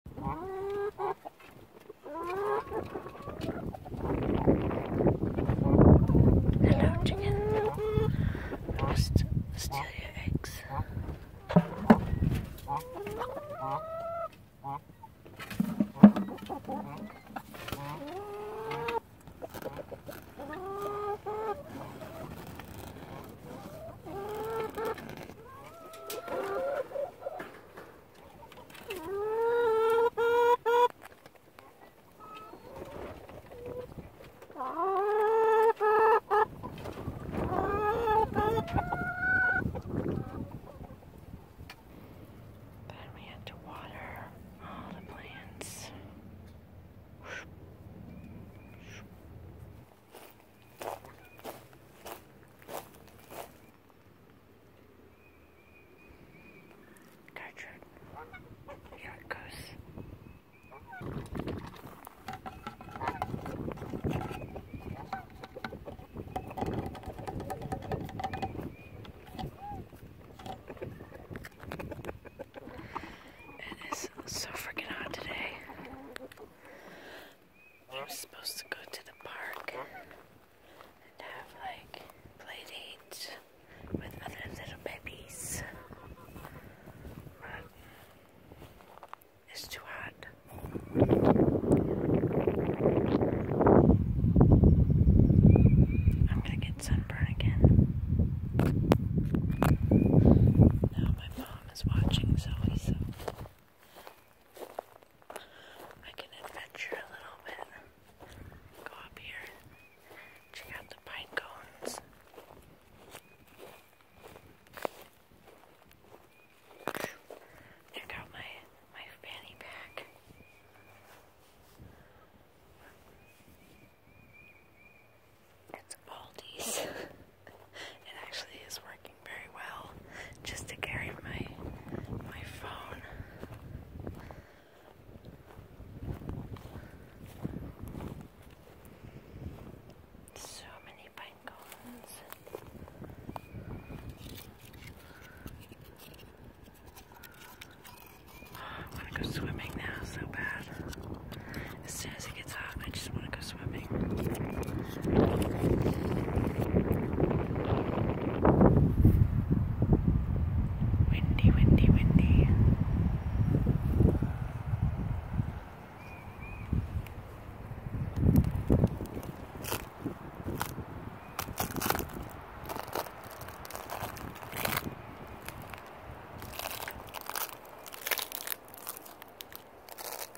Hello, chicken. Must steal your eggs. Then we had to water all the plants. Gertrude, here it goes. It is so freaking hot today. I'm supposed to go to the park and have like play dates with other little babies. it's too hot. I'm gonna get sunburn again. Now my mom is watching Zoe, I can adventure a little bit. Go up here, check out the pine cones. Check out my my fanny pack. It's Aldi's. it actually is working very well just to carry my my phone. So many pine I want to go swimming now so bad as soon as it gets hot, I just want to go swimming. Windy, windy, windy.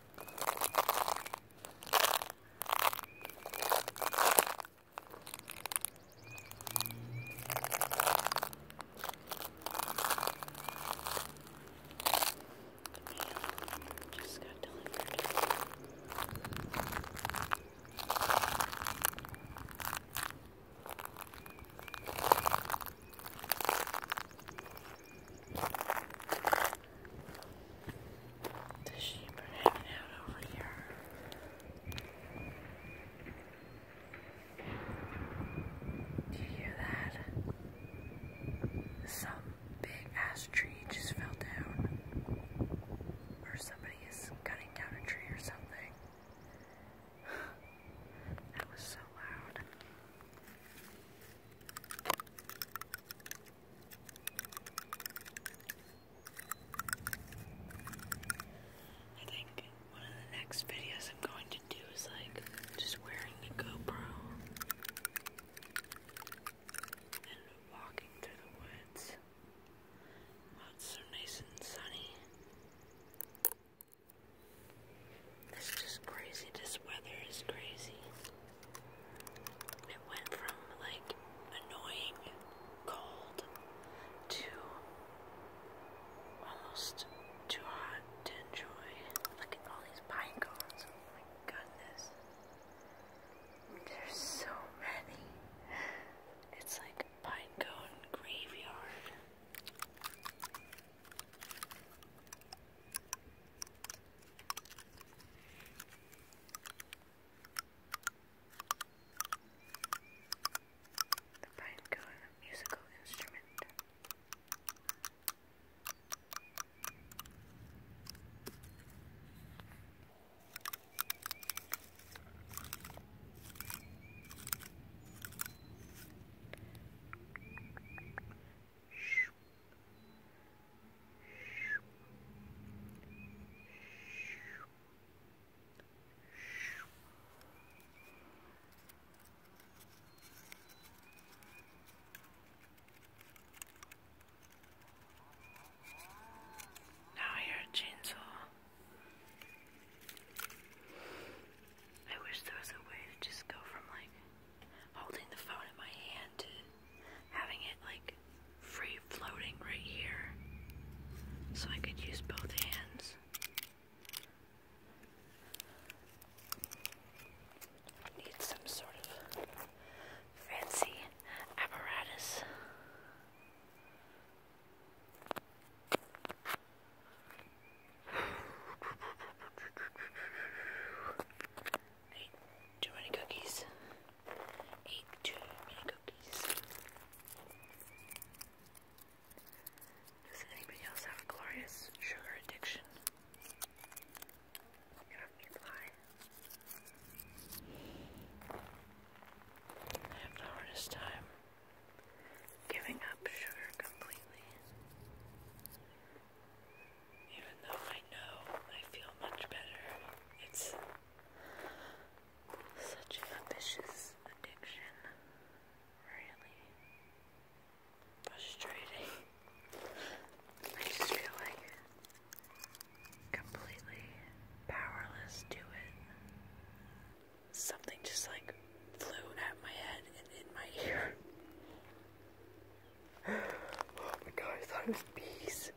Just got delivered. The sheep are hanging out over here. Do you hear that? Some big ass tree just fell down. Or somebody is cutting down a tree or something. that was so loud. I think one of the next videos I'm going to do is like just wearing the GoPro and walking through the woods. it's so nice and sunny. This is just crazy. This weather is crazy. It went from like annoying cold to almost too hot to enjoy. Look at all these pine cones. Oh my goodness. There's so many. It's like pine cone graveyard. The pinecone, a musical instrument. Now I hear a I wish there was a way to just go from like holding the phone in my hand to having it like free floating right here so I could use both hands. Need some sort of fancy apparatus. Ate too many cookies. Ate too many cookies. Does anybody else have a glorious sugar addiction? You have me lie. I have the hardest time giving up sugar completely. Even though I know I feel much better, it's such a vicious addiction. Really frustrating. I just feel like completely powerless to it something just like flew at my head and in my ear. oh my god, I was bees.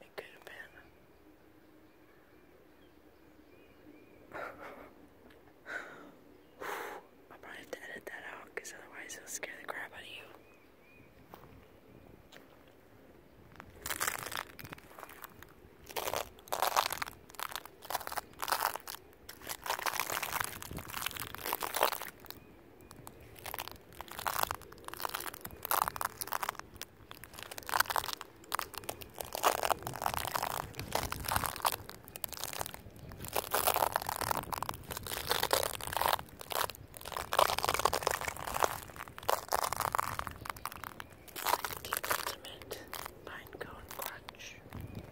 It could have been. I'll probably have to edit that out because otherwise it'll scare the crap out of you. Ultimate Pine Cone Crunch me,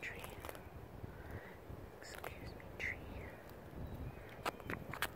tree. Excuse me, tree.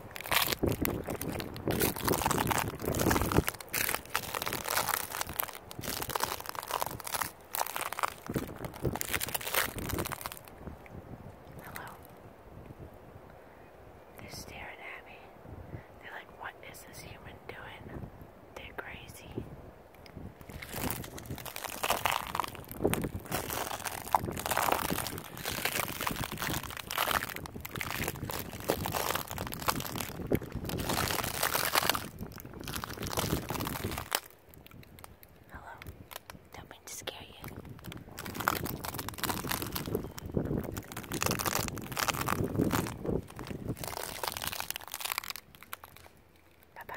Hello. They're staring at me. They're like, what is this human doing? They're crazy. Hello. Don't mean to scare you. Bye bye.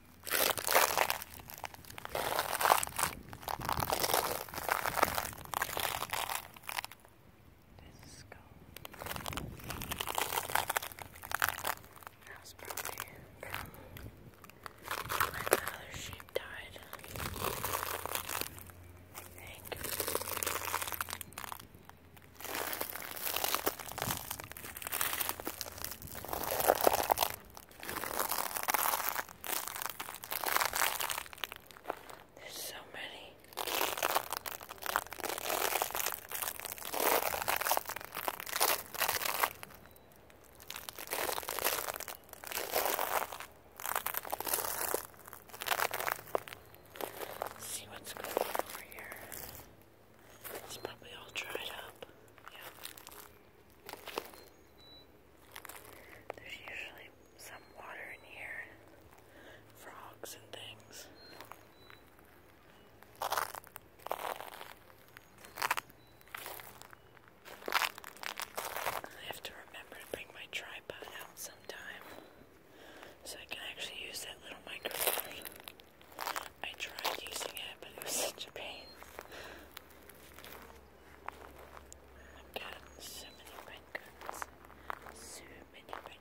This skull. That was probably from when the other sheep died. I think. This there's so many. see what's going on over here. It's probably all dried up. Yeah. There's usually some water in here, frogs and things. I have to remember to bring my tripod out sometime so I can actually use that little microphone. I tried using it, but it was such a pain. I've got so many red So many red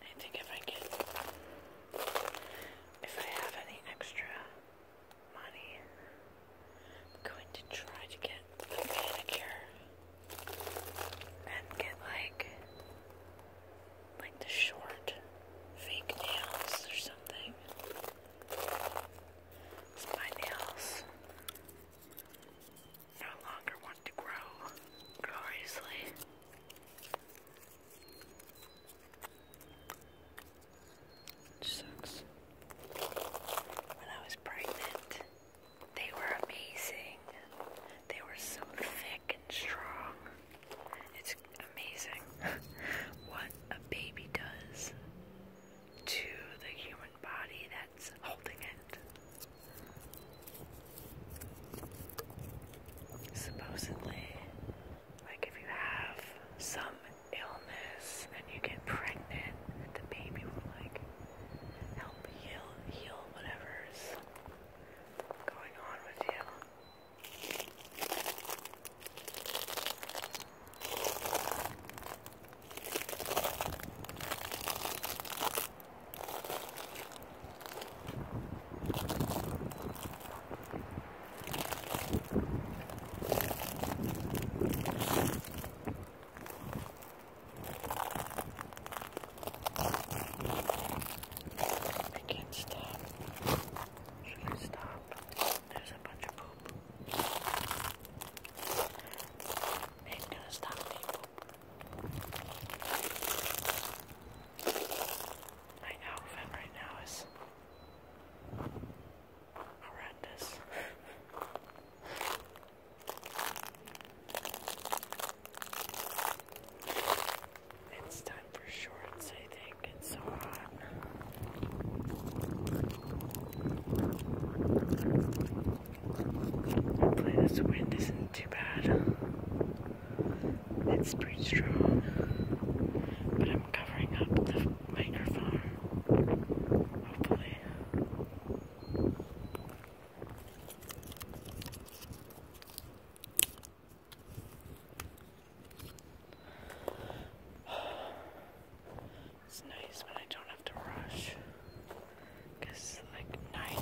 I think if I get, if I have any extra money, I'm going to try to get a manicure and get like, like the short fake nails or something. my nails no longer want to grow gloriously. Which sucks. When I was pregnant, they were amazing. They were so thick and strong. It's amazing what a baby does to the human body that's holding it. Supposedly, like if you have some illness and you get pregnant, the baby will like help heal heal whatever's going on with you. I can't stop. I can't stop. There's a bunch of poop into the stuffy poop. My outfit right now is horrendous. It's time for shorts, I think. It's so hot. Hopefully this wind isn't too bad. It's pretty strong, but I'm covering up the microphone. Hopefully. It's nice when I don't have to rush. Because, like,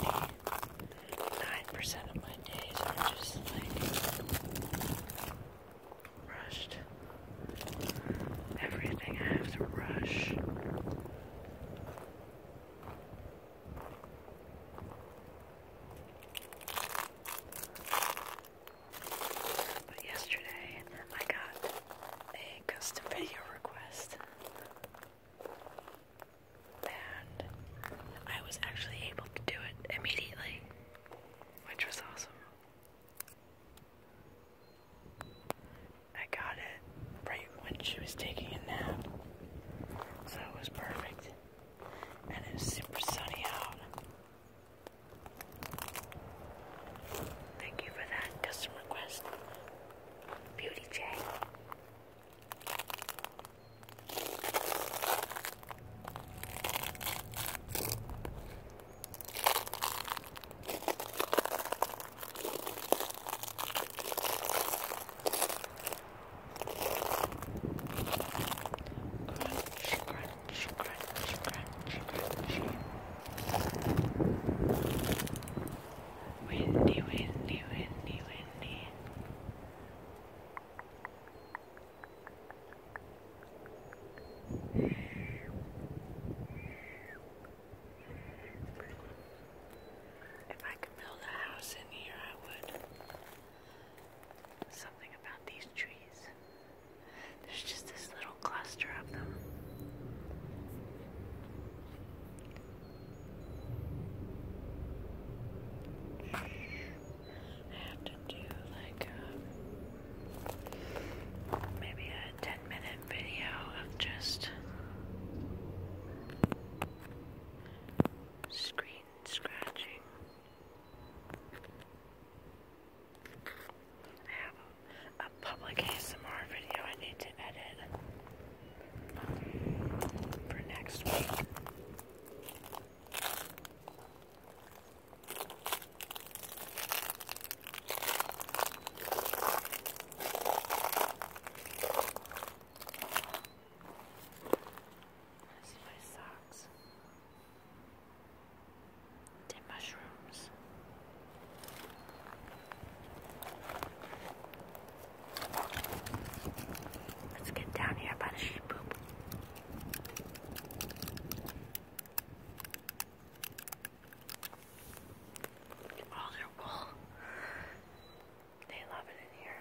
99% of my days are just, like, rushed. Everything I have to rush. But yesterday I got a custom video request. And I was actually able to do it immediately, which was awesome. I got it right when she was taking a nap, so it was perfect. And it super sunny out, Thank you for that custom request, Beauty J crunch, crunch, crunch, crunchy. Windy, windy, windy, windy. If I could build a house in here, I would. Something about these trees. There's just this little cluster of them. I have to do like um, maybe a 10 minute video of just screen scratching. I have a, public ASMR video I need to edit for next week. This is my socks. The mushrooms. Let's get down here by the sheep poop. All oh, their wool. They love it in here.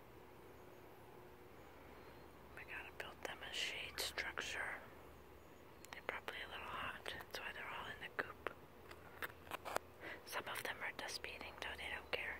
We gotta build them a shade structure. They're probably a little hot, that's why they're all in the coop. Some of them are dust beating, though they don't care.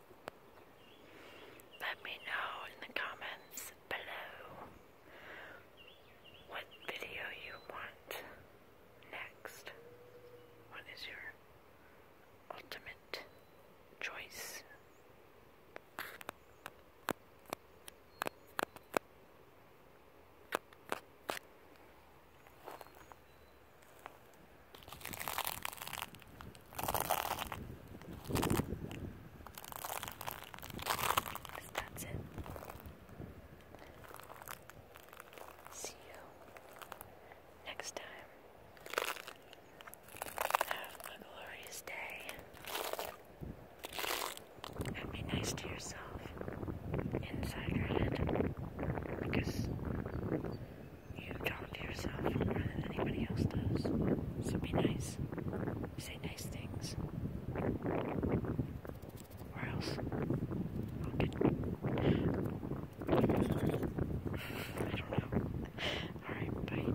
Let me know in the comments below what video you want next. What is your ultimate choice? Because See you next time. Have a glorious day. And be nice to yourself inside your head. Because you talk to yourself more than anybody else does. So be nice. Say nice things. Or else I'll get I don't know. Alright, bye.